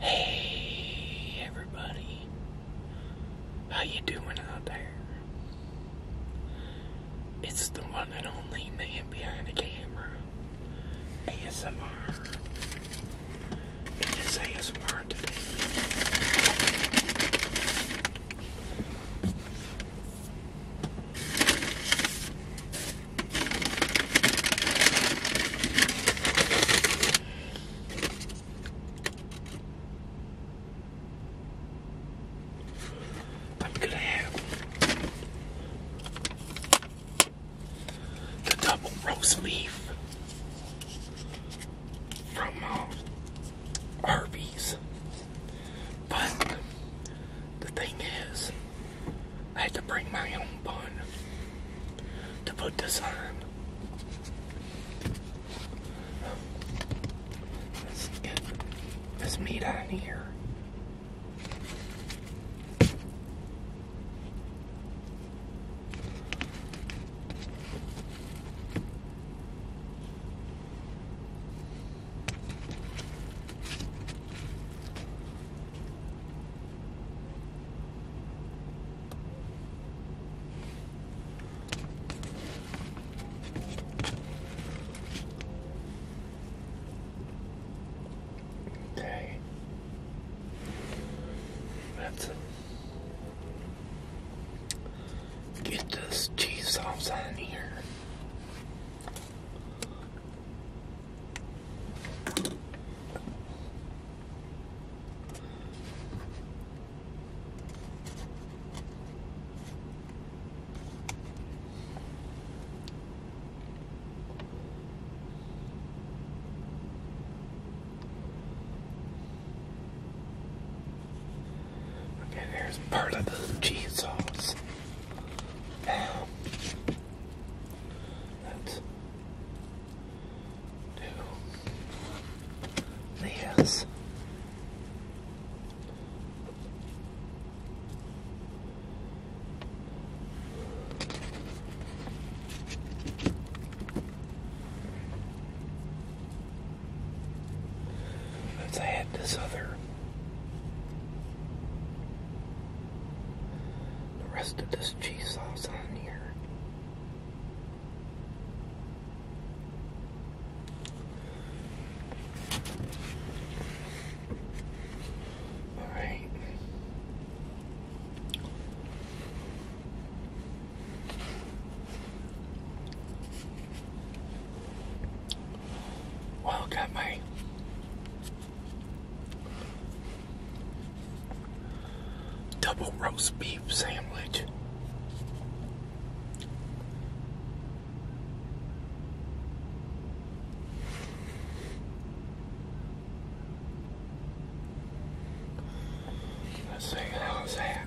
Hey everybody, how you doing out there? It's the one and only man behind the camera, ASMR. It is ASMR I'm gonna have the double roast beef from uh, Arby's, but the thing is, I had to bring my own bun to put this on. Let's get this meat on here get this cheese sauce on here. Okay, there's part of the cheese sauce. That do this. Let's add this other the rest of this cheese sauce on here. All right. I oh, got my double roast beef sandwich. Let's see, how's that?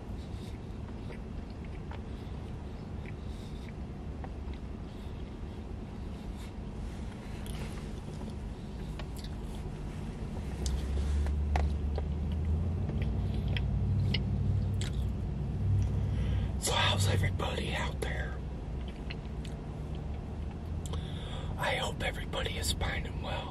So how's everybody out there? I hope everybody is finding well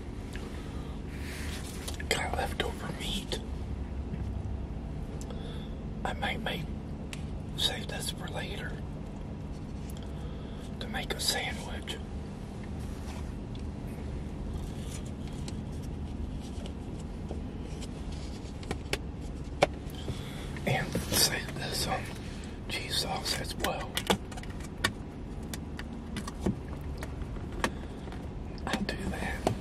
Got leftover meat. I might make save this for later to make a sandwich. And save this on um, cheese sauce as well. I'll do that.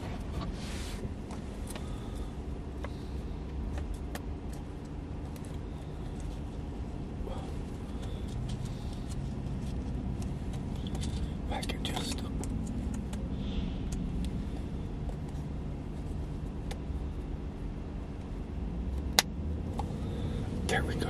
I could just there we go.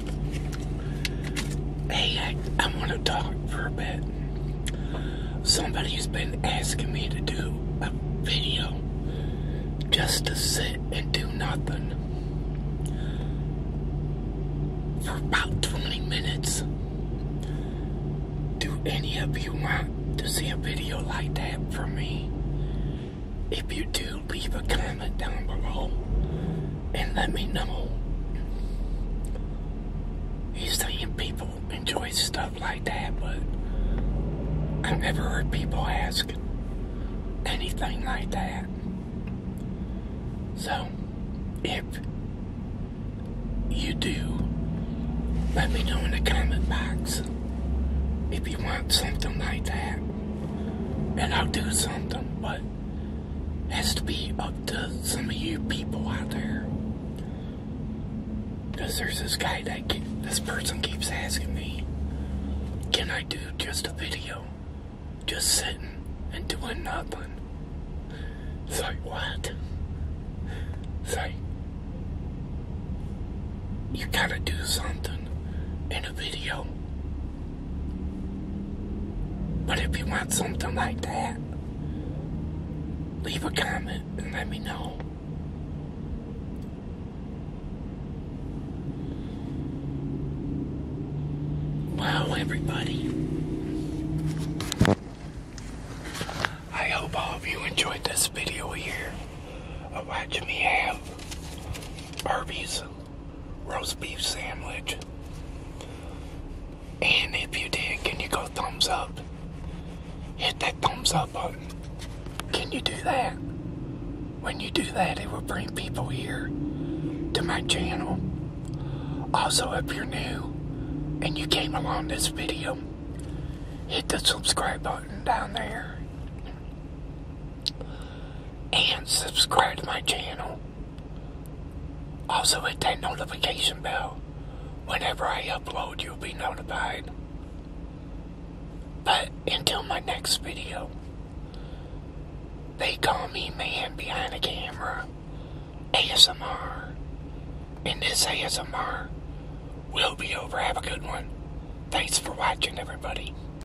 Hey, I, want to talk for a bit. Somebody's been asking me to do a video just to sit and do nothing for about 20 minutes. Do any of you want to see a video like that from me? If you do, leave a comment down below and let me know. He's saying people enjoy stuff like that, but I've never heard people ask anything like that. So, if you do, let me know in the comment box if you want something like that. And I'll do something, but has to be up to some of you people out there. there's this guy that this person keeps asking me, can I do just a video? Just sitting and doing nothing. It's like, what? It's you gotta do something in a video. But if you want something like that, leave a comment and let me know. Wow, everybody. I hope all of you enjoyed this video here watching me have Arby's roast beef sandwich. And if you did, can you go thumbs up? Hit that thumbs up button. Can you do that? When you do that, it will bring people here to my channel. Also, if you're new and you came along this video, hit the subscribe button down there and subscribe to my channel. Also hit that notification bell. Whenever I upload, you'll be notified. But until my next video, they call me man behind the camera, ASMR. And this ASMR will be over. Have a good one. Thanks for watching, everybody.